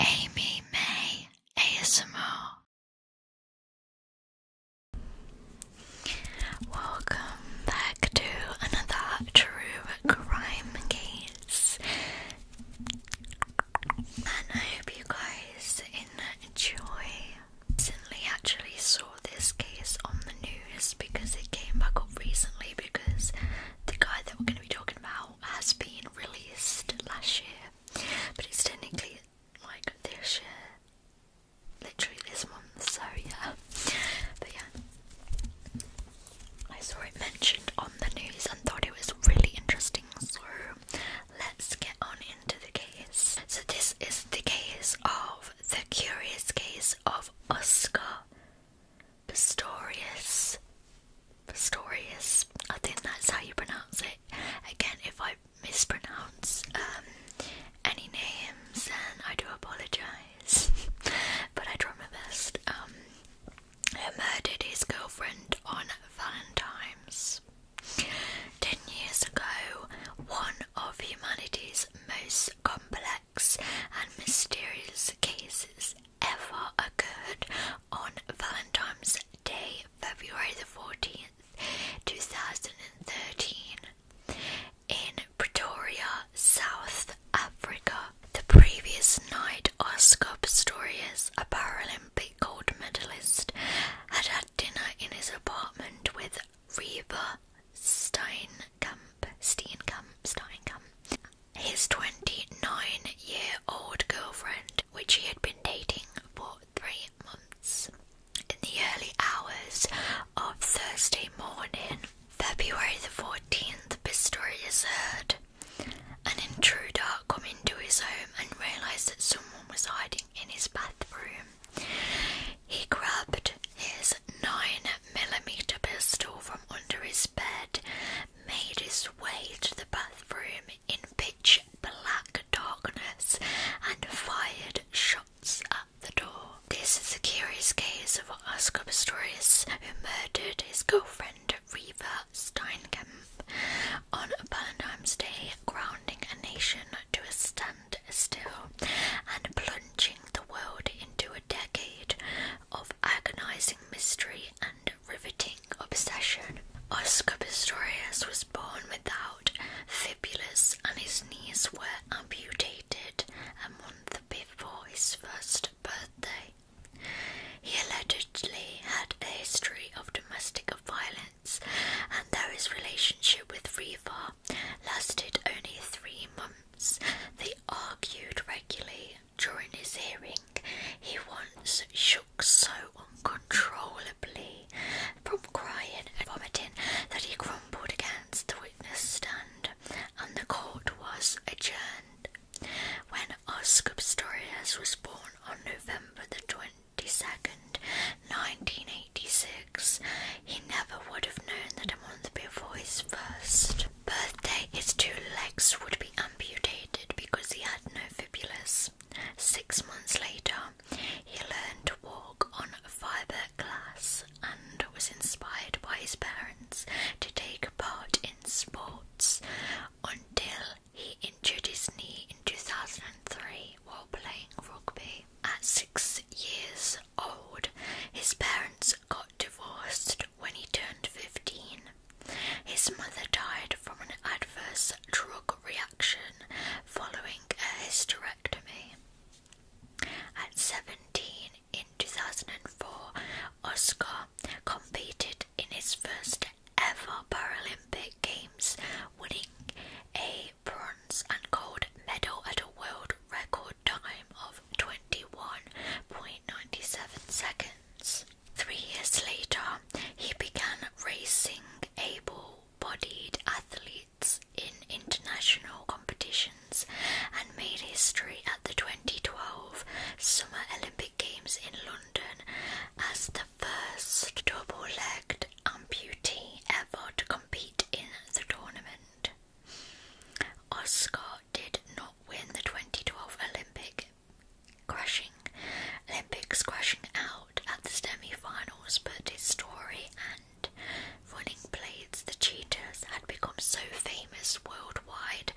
Amy May ASMR. Welcome back to another true crime case, and I hope you guys enjoy. Recently, actually saw this case on the news because it came back up recently because the guy that we're going to be talking about has been released last year, but it's technically like this year, literally this month, so yeah. But yeah, I saw it mentioned on the news and thought it was really interesting, so let's get on into the case. So, this is the case of the curious case of Oscar Pistorius. Pistorius. I think that's how you pronounce it. Again, if I mispronounce um, any names, then I do apologise. but I try my best. Um, who murdered his girlfriend on Valentine's. Ten years ago, one of humanity's most complex and mysterious cases ever occurred on Valentine's Day, February the 14th, 2013, in Pretoria, South Africa. The previous night, Oscar Pistorius, a Paralympic gold medalist, had had dinner in his apartment with Reba Steinkamp, Steinkamp, Steinkamp, his 29 year old girlfriend, which he had been dating for three months. In the early hours of Thursday morning, February the 14th, the Pistorius heard an intruder come into his home and realised that someone was hiding in his bathroom. He grabbed his 9mm pistol from under his bed, made his way to the bathroom, in pitch black darkness and fired shots at the door. This is a curious case of a Oscar Pistorius, who murdered his girlfriend Reva Steinkamp on Valentine's Day, grounding a nation to a standstill and plunging the world into a decade of agonizing mystery and riveting obsession. Oscar Pistorius was born without fibulas, and his knees were amputated a month before his first birthday. He allegedly had a history of domestic violence, and though his relationship with Riva lasted only three months, they argued regularly during his hearing, he once shook so uncontrollably from crying and vomiting that he grumbled against the witness stand, and the court was adjourned. When Oscar Pistorius was born on November the 22nd, 1986, he never would have known that a month before his first birthday, his two legs would be amputated because he had no fibulas. Six months later, he learned to walk on fiberglass and was inspired by his parents to take part in sports until he injured his knee in 2003 while playing rugby. At six years old, his parents got divorced when he turned 15. His mother died from an adverse drug reaction following a hysterectomy. At 17 in 2004, Oscar competed in his first ever Paralympic Games, winning a bronze and gold medal at a world record time of 21.97 seconds. Three years later, he began racing able bodied athletes in international competitions and made history at the 2012 Summer Olympic Games in London as the first double legged amputee ever to compete in the tournament. Oscar did not win the 2012 Olympic crashing Olympics crashing out at the semi-finals, but his story and running blades, the cheetahs, had become so famous worldwide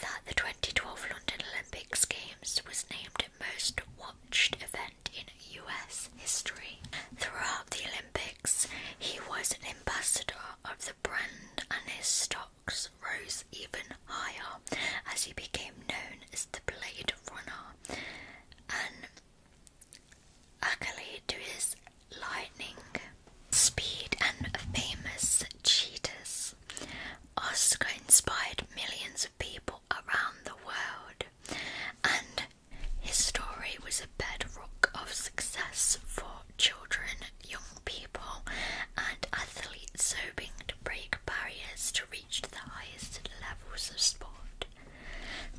that the 2012 London Olympics Games was named most watched event in US history. Throughout the Olympics, he was an ambassador of the brand and his stocks rose even higher as he became known as the Blade Runner, an accolade to his lightning speed and famous cheetahs. Oscar inspired millions of people around the world, and his story was a bedrock of success for children, young people, and athletes hoping to break barriers to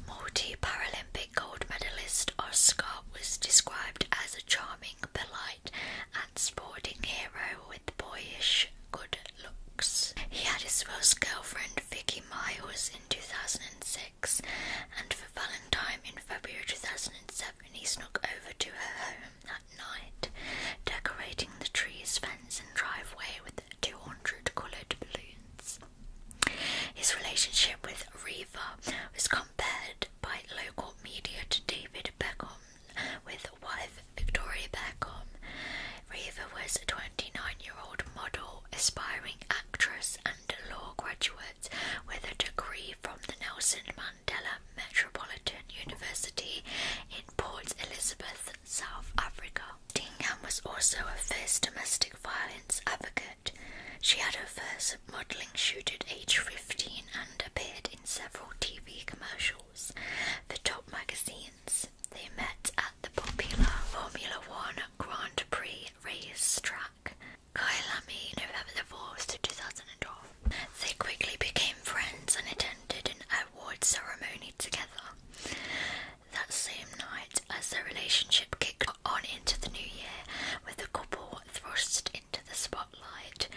Multi Paralympic gold medalist Oscar was described as a charming, polite, and sporting hero with boyish good looks. He had his first girlfriend, Vicky Miles, in 2006, and for Valentine in February 2007, he snuck over to her home night, decorating the tree's fence and driveway with 200 coloured balloons. His relationship with Reva was compared by local media to David Beckham with wife Victoria Beckham. Reva was a 29-year-old model, aspiring actress and law graduate with a degree from the Nelson Mandela Metropolitan University in Port Elizabeth South Africa. Dingham was also a first domestic violence advocate. She had her first modelling shoot at age 15 and appeared in several TV commercials for top magazines. They met at the popular Formula One Grand Prix race track, Kailami, November the 2012. They quickly became friends and attended an award ceremony together. That same night, as their relationship kicked on into the new year, with the couple thrust into the spotlight,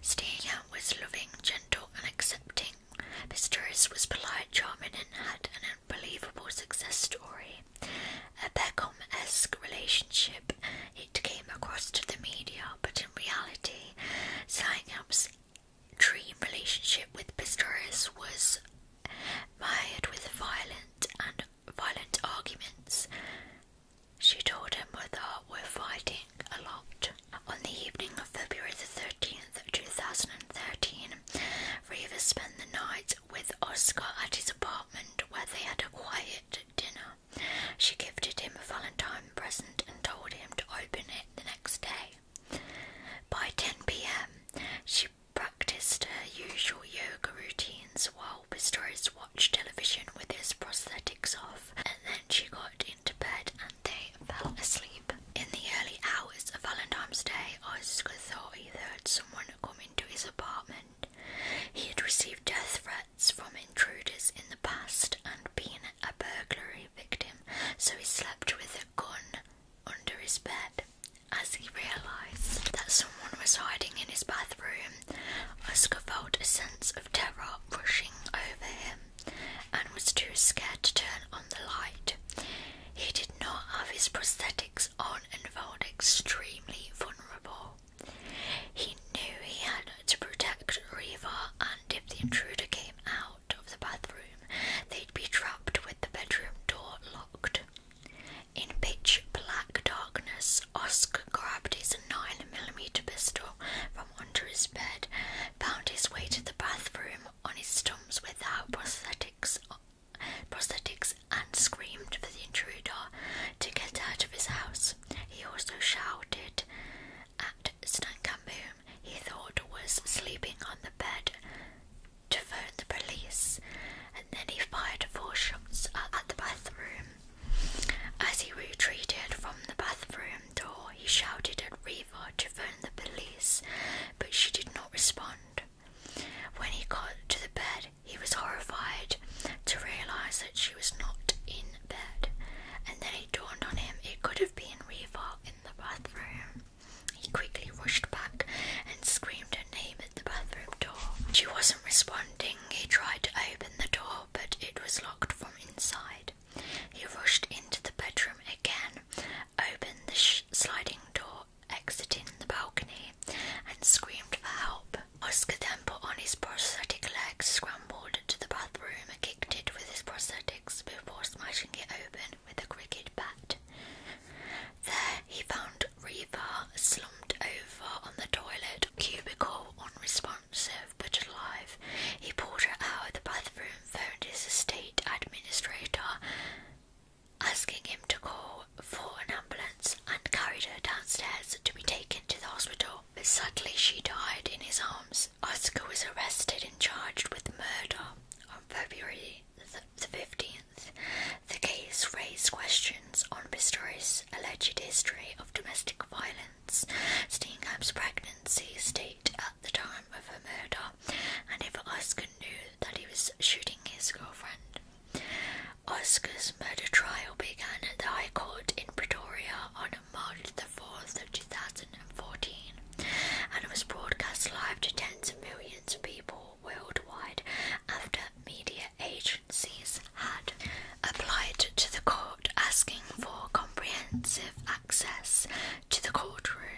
Stina was loving, gentle, and accepting. Pistoris was polite, charming, and had an unbelievable success story. A Beckham esque relationship, it came across to the media, but in reality, Stinap's dream relationship with Pistorius was mired with violent and violent arguments. She told her mother we're fighting a lot. On the evening of February the 13th, 2013, Reva spent the night with Oscar at his apartment where they had a quiet dinner. She gifted him a Valentine present and told him to open it the next day. By 10 pm, she practiced her usual yoga routines while Pistorius watched television with his prosthetics off, and then she got into bed and they fell asleep. In the early hours of Valentine's Day, Oscar thought he heard someone come into his apartment. He had received death threats from intruders in the past and been a burglary victim, so he slept with a gun under his bed. As he realised that someone was hiding in his bathroom, Oscar felt a sense of terror rushing over him and was too scared to turn on the light. He did not have his prosthetics on and felt extremely vulnerable. He knew he had to protect Riva, and if the intruder came out out of the bathroom, they'd be trapped with the bedroom door locked. In pitch black darkness, Oscar grabbed his 9mm pistol from under his bed, found his way to the bathroom on his stumps without prosthetics, prosthetics and screamed for the intruder to get out of his house. He also shouted at but he thought was sleeping on the bed to phone the police, and then he fired four shots at the bathroom. As he retreated from the bathroom door, he shouted at Reva to phone the police, but she did not respond. When he got to the bed, he was horrified to realize that she was not in bed, and then it dawned on him it could have been Reva in the bathroom. He quickly rushed back and screamed her name at the bathroom door. She wasn't responding. He tried to open the door, but it was locked from inside. He rushed into the bedroom again, opened the sliding door, exiting the balcony, and screamed for help. Oscar then put on his prosthetic legs, scrambled to the bathroom, and kicked it with his prosthetics before smashing it open with a cricket bat. There he found Reva slumped over on the toilet cubicle, unresponsive but alive. He pulled her out of the bathroom, phoned his estate administrator, asking him to call for an ambulance, and carried her downstairs to be taken to the hospital. But suddenly she died in his arms. Oscar was arrested and charged with murder on February the 15th, the case raised questions on Pistorius' alleged history of domestic violence, Steingham's pregnancy state at the time of her murder, and if Oscar knew that he was shooting his girlfriend. Oscar's murder trial began at the High Court in Pretoria on March the 4th of 2014 and was broadcast live to tens of millions of people worldwide after media agencies had applied to the court asking for comprehensive access to the courtroom.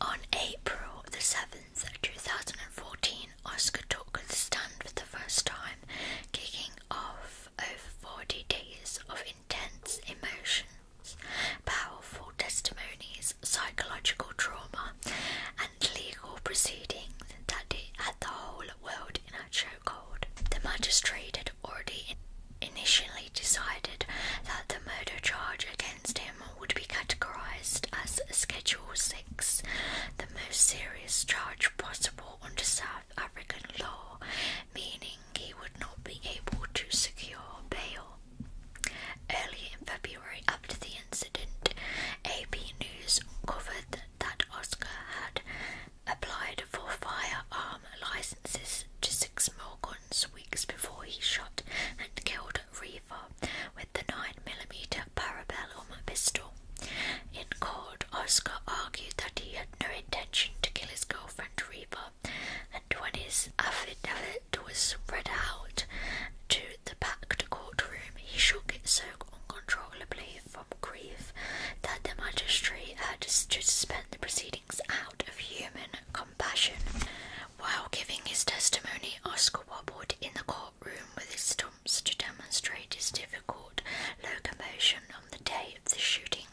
On April the 7th, 2014, Oscar took the stand for the first time, kicking off over 40 days of intense emotion Powerful testimonies, psychological trauma, and legal proceedings that had the whole world in a chokehold. The magistrate had already initially decided that the murder charge against him would be categorized as Schedule 6, the most serious charge possible under South African law, meaning he would not be able to secure bail. Early in February, after the incident, AP News uncovered that Oscar had applied for firearm licenses to six more guns weeks before he shot and killed Reaver with the 9 millimeter parabellum pistol. In court, Oscar argued that he had no intention to kill his girlfriend Reva and when his affidavit was read out to the packed courtroom, he shook it so uncontrollably from grief that the magistrate had to suspend the proceedings out of human compassion. While giving his testimony, Oscar wobbled in the courtroom with his stumps to demonstrate his difficult locomotion on the day of the shooting.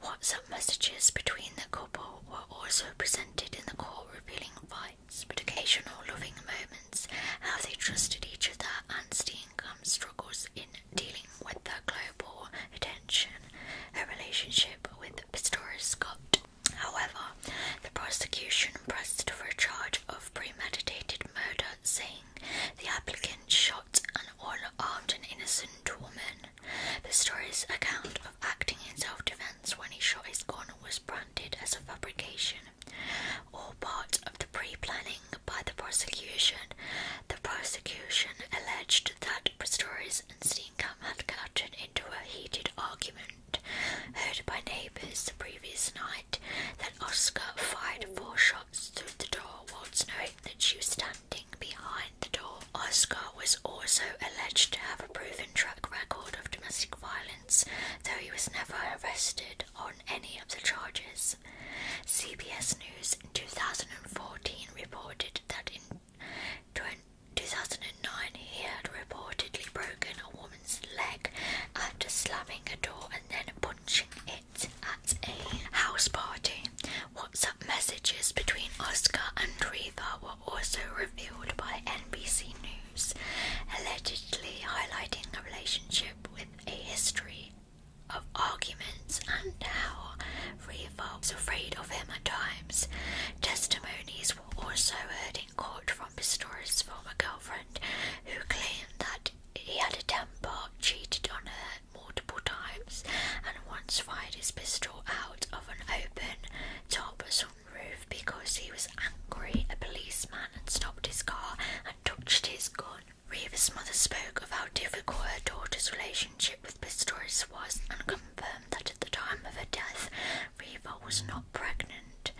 What messages between the couple were also presented in the court, revealing fights, but occasional loving moments, how they trusted each other, and Steenkamp's struggles in dealing with the global attention, her relationship with Pistorius Scott. However, the prosecution pressed for a charge of premeditated murder, saying the applicant shot an unarmed and innocent woman. Pistorius' account acting in self-defense when he shot his gun was branded as a fabrication, or part of the pre-planning by the prosecution. The prosecution alleged that Pistorius and Steenkamp had gotten into a heated argument heard by neighbors the previous night that Oscar fired four shots through the door whilst knowing that she was standing behind Behind Oscar was also alleged to have a proven track record of domestic violence, though he was never arrested on any of the charges. CBS News in 2014 reported that in 2009 he had reportedly broken a woman's leg after slamming a door and then punching it at a house party. What messages between Oscar and Reva were also revealed by NBC News, allegedly highlighting a relationship with a history of arguments and how Reva was afraid of him at times. Testimonies were also heard in court from Pistorius' former girlfriend, who claimed that he had a temper, cheated on her multiple times, and once fired his pistol out of an open Top Talbot's roof because he was angry a policeman had stopped his car and touched his gun. Reeves' mother spoke of how difficult her daughter's relationship with Pistorius was and confirmed that at the time of her death, Reva was not pregnant.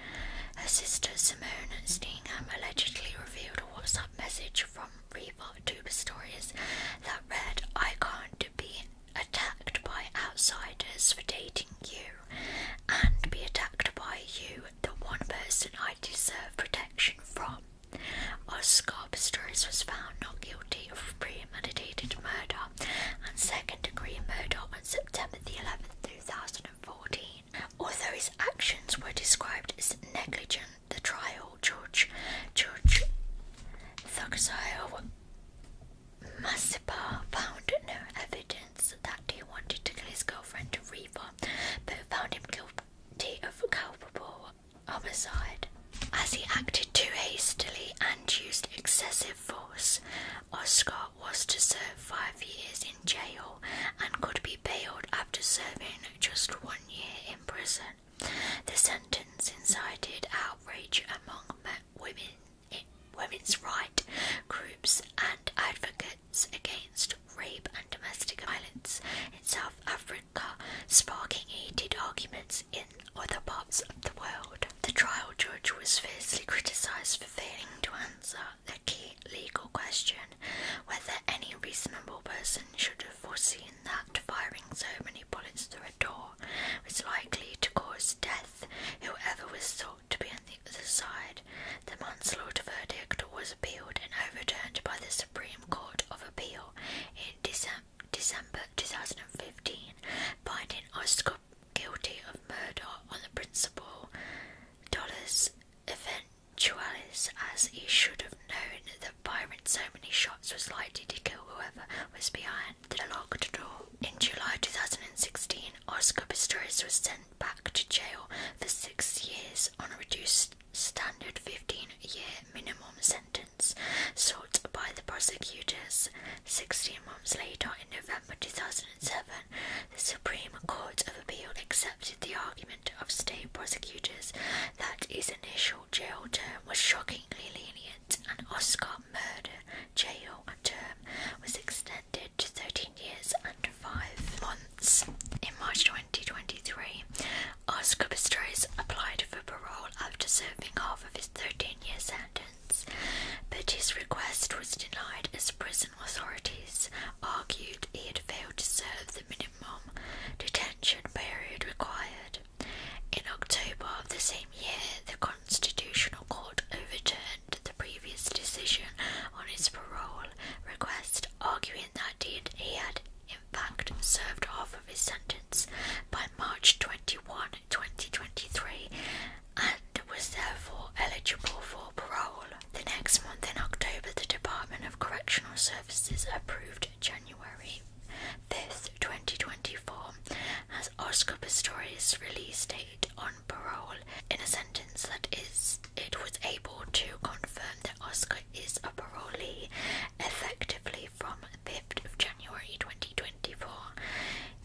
Her sister Simone Steenham allegedly revealed a WhatsApp message from Reva to Pistorius that read, I can't do it." attacked by outsiders for dating you and be attacked by you, the one person I deserve protection from. Oscar Pistorius was found not guilty of premeditated murder and second degree murder on September the 11th, 2014. Although his actions were described as negligent, the trial judge, Judge Thugsdale, Masipa found no evidence that he wanted to kill his girlfriend Reva, but found him guilty of culpable homicide. As he acted too hastily and used excessive force, Oscar was to serve five years in jail and could be bailed after serving just one year in prison. The sentence incited outrage among women women's rights groups and advocates against rape and domestic violence in South Africa, sparking heated arguments in other parts of the world. The trial judge was fiercely criticised for failing to answer the key legal question whether any reasonable person should have foreseen that firing so many bullets through was likely to cause death, whoever was sought to be on the other side. The manslaughter verdict was appealed and overturned by the Supreme Court of Appeal in December. 2015, finding Oscar guilty of murder on the principle dollars eventualis, as he should have known that firing so many shots was likely to kill whoever was behind in July 2016, Oscar Pistorius was sent back to jail for six years on a reduced standard 15-year minimum sentence sought by the prosecutors. Sixteen months later, in November 2007, the Supreme Court of Appeal accepted the argument of state prosecutors that his initial jail term was shockingly lenient and Oscar murder jail term was extended to 13 years and 5 months. In March 2023, Oscar Pistorius applied for parole after serving half of his 13 year sentence, but his request was denied as prison authorities argued he had failed to serve the minimum detention period required. In October of the same year, the the Constitutional Court overturned the previous decision on his parole request, arguing that he had in fact served half of his sentence by March 21, 2023 and was therefore eligible for parole. The next month in October, the Department of Correctional Services approved January 5, 2024 as Oscar Pistorius' released date on parole in a sentence that is it was able to confirm that Oscar is a parolee effectively from 5th of January 2024.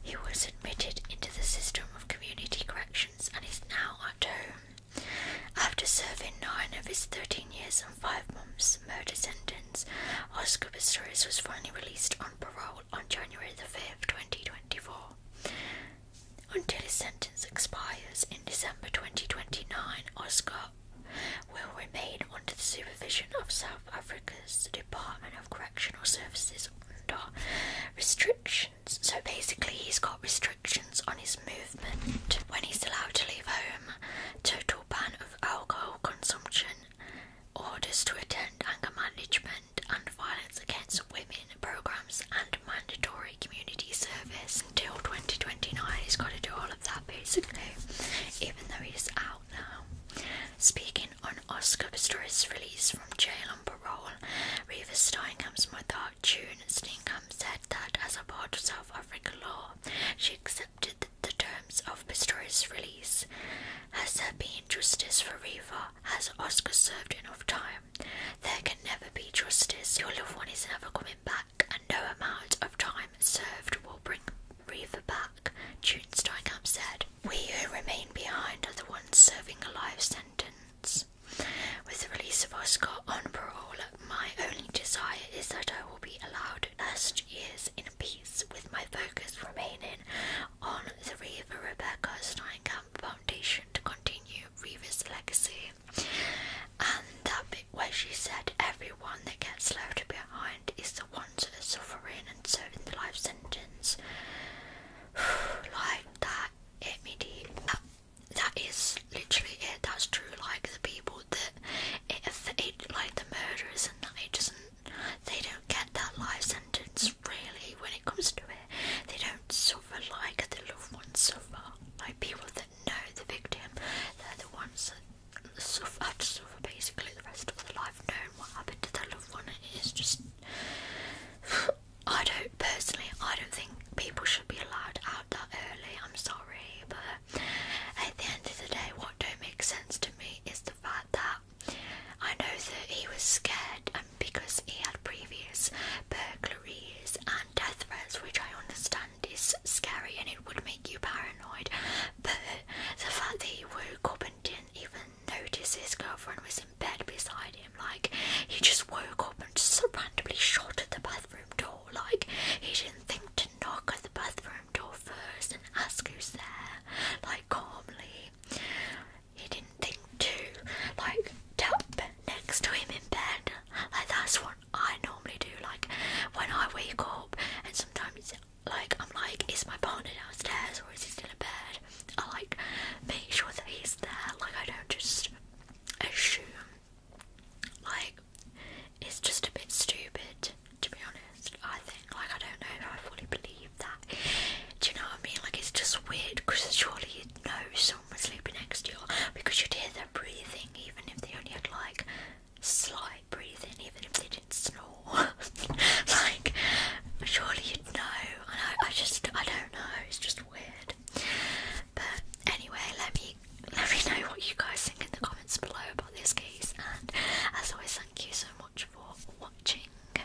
He was admitted into the system of community corrections and is now at home. After serving nine of his 13 years and five months murder sentence, Oscar Pistorius was finally released on parole on January the 5th, 2024, until his sentence expires in December 2029. Oscar will remain under the supervision of South Africa's Department of Correctional Services under restrictions. So basically, he's got restrictions on his movement when he's allowed to leave home, total ban of alcohol consumption, orders to attend anger management and, violence against women programs and mandatory community service until 2029. He's got to do all of that basically, even though he's out now. Speaking on Oscar Pistorius' release from jail on parole, Reeva Steinkamp's mother, June Steinkamp, said that as a part of South African law, she accepted the terms of Pistorius' release. Has there been justice for Reeva? has Oscar served enough time? There can never be justice. Your loved one is never coming back, and no amount of time served will bring Reaver back, June Steinkamp said. We who remain behind are the ones serving a life sentence. With the release of Oscar on parole, my only desire is that I will be allowed last years in peace, with my focus remaining on the Reva Rebecca Camp Foundation to continue Reva's legacy. And that bit where she said everyone that gets left behind is the ones that are suffering and serving the life sentence. like that hit me deep. that is literally it. That's true. Like the people that if it like the murderers and that it doesn't they don't get that life sentence really when it comes to it. They don't suffer like the loved ones suffer. Like people that know the victim, they're the ones that suffer, have to basically the rest of their life knowing what happened to their loved one. It is just. I don't personally. I don't think people should be allowed out that early. I'm sorry, but at the end of the day, what don't make sense to me is the fact that I know that he was scared and um, because he had previous burglaries and death threats, which I understand is scary and it would make you paranoid. But the fact that he woke up and didn't even notice his girlfriend was in bed beside him, like he just woke up and just randomly shot at the bathroom door, like he didn't think to knock at the bathroom door first and ask who's there, like calmly he didn't think to like dump next to him in bed. Like that's what I normally do. Like when I wake up and sometimes like I'm like, is my partner downstairs or is he still in bed? I like make sure that he's there. Like I don't just assume. Like it's just a bit stupid to be honest. I think like I don't know if I fully believe do you know what I mean? Like, it's just weird because surely you'd know someone sleeping next to you because you'd hear their breathing, even if they only had like slight breathing, even if they didn't snore. like, surely you'd know. And I, I just, I don't know. It's just weird. But anyway, let me let me know what you guys think in the comments below about this case. And as always, thank you so much for watching.